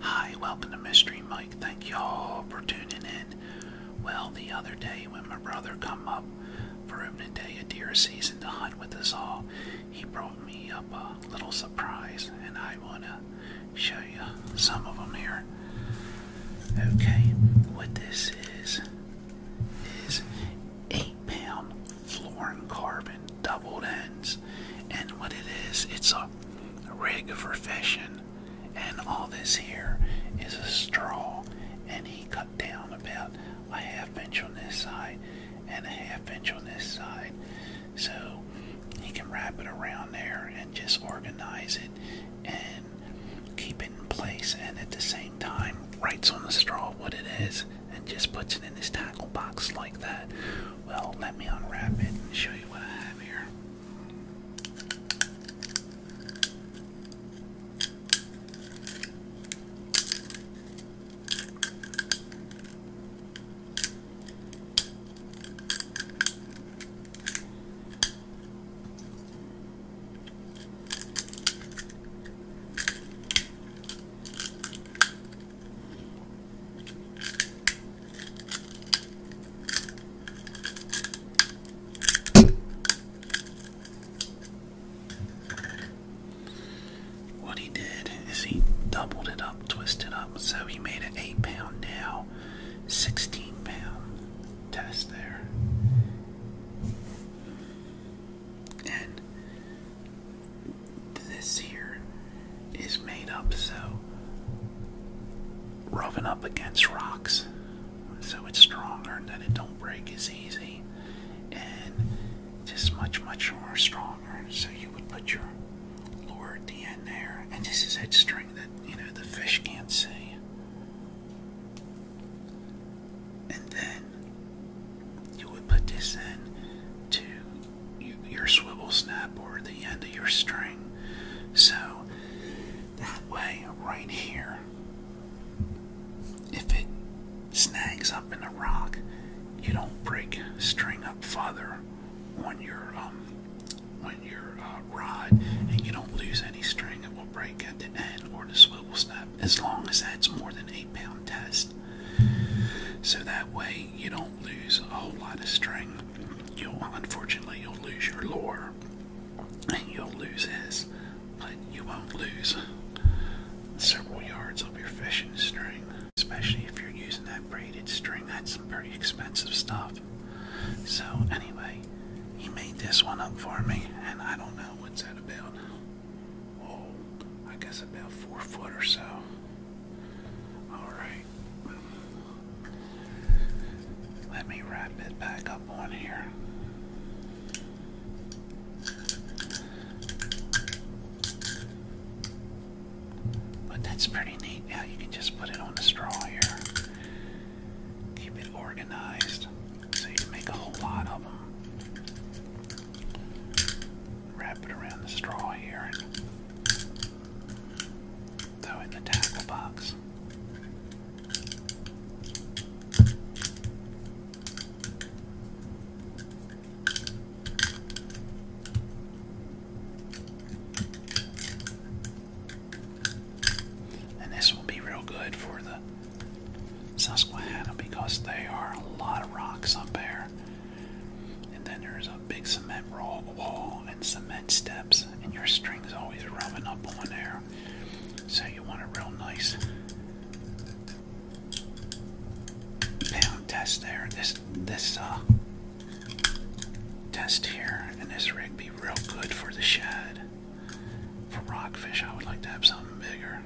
Hi, welcome to Mystery Mike. Thank y'all for tuning in. Well, the other day when my brother come up for him to take a deer season to hunt with us all, he brought me up a little surprise, and I wanna show you some of them here. Okay, what this is is eight pound fluorine carbon doubled ends. And what it is, it's a rig for fishing. And all this here is a straw. And he cut down about a half inch on this side and a half inch on this side. So he can wrap it around there and just organize it and keep it in place and at the same time writes on the straw what it is and just puts it in his tackle box like that well, let me unwrap it and show you what I have here. What he did is he doubled it up, twisted up, so he made an 8 pound now, 16 pound test there. And this here is made up so rubbing up against rocks so it's stronger that it don't break as easy and it's much much more stronger so you would put your lure at the end there and this is that string that you know the fish can't see and then you would put this in to your swivel snap or the end of your string. So that way, right here, if it snags up in a rock, you don't break string up farther on your um, on your uh, rod, and you don't lose any string. It will break at the end or the swivel snap as long as that's more than eight eight test. So that way you don't lose a whole lot of string. You'll unfortunately you'll lose your lure. And you'll lose his, but you won't lose several yards of your fishing string. Especially if you're using that braided string. That's some pretty expensive stuff. So anyway, he made this one up for me and I don't know what's that about oh, I guess about four foot or so. Alright. Let me wrap it back up on here. But that's pretty neat. Now you can just put it on the straw here. Keep it organized. So you make a whole lot of them. Wrap it around the straw here and throw it in the tackle box. And this will be real good for the Susquehanna because there are a lot of rocks up there. And then there's a big cement wall and cement steps, and your string's always rubbing up on there. So you want it real nice pound test there. This this uh, test here and this rig be real good for the shad. For rockfish, I would like to have something bigger.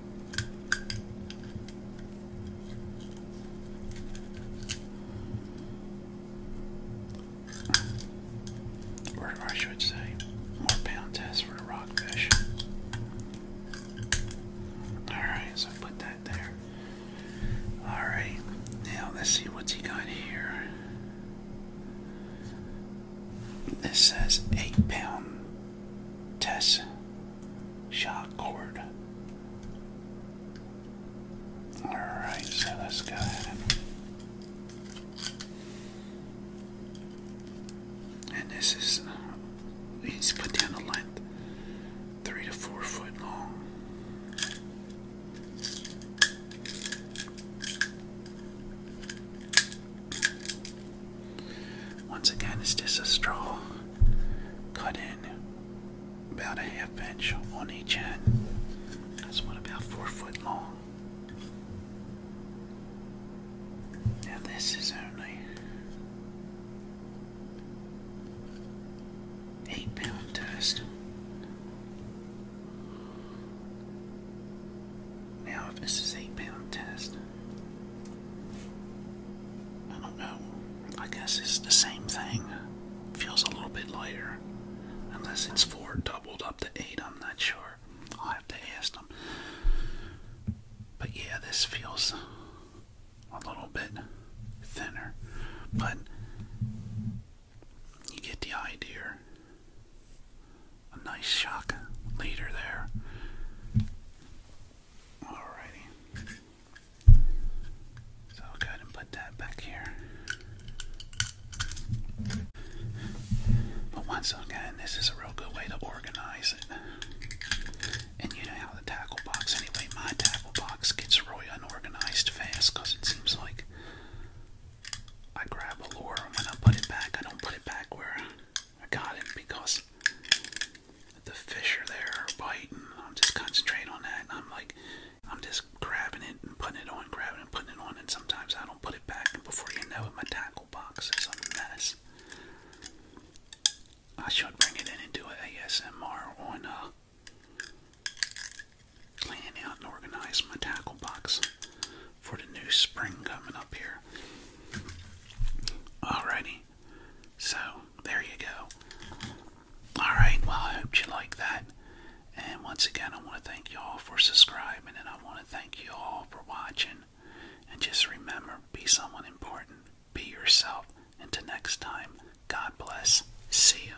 Or, I should say, more pound test for the rockfish. Alright, so put that there. Alright, now let's see what's he got here. This says eight pound test shock cord. Alright, so let's go ahead and this is uh, he's put down the length three to four foot long. Once again, it's just a straw cut in about a half inch on each end. That's what about four foot long. Now, this is only eight pound test. Now, if this is eight pound test, I don't know. I guess it's the same thing. Feels a little bit lighter, unless it's four doubled up to eight. I'm not sure. i have to ask them. But yeah, this feels a little bit thinner, but you get the idea. A nice shock later there. Alrighty. So go ahead and put that back here. But once again, this is a real good way to organize it. And you know how the tackle box, anyway, my tackle box gets really unorganized fast because it seems like I grab a lure and I put it back, I don't put it back where I got it because the fish are there biting. I'm just concentrating on that. And I'm like, I'm just grabbing it and putting it on, grabbing and putting it on. And sometimes I don't put it back. And before you know it, my tackle box is a mess. I should bring it in and do an ASMR one. Uh, Plan out and organize my tackle box for the new spring coming up here. Alrighty, so there you go. Alright, well, I hope you like that. And once again, I want to thank you all for subscribing, and I want to thank you all for watching. And just remember be someone important, be yourself. Until next time, God bless. See you.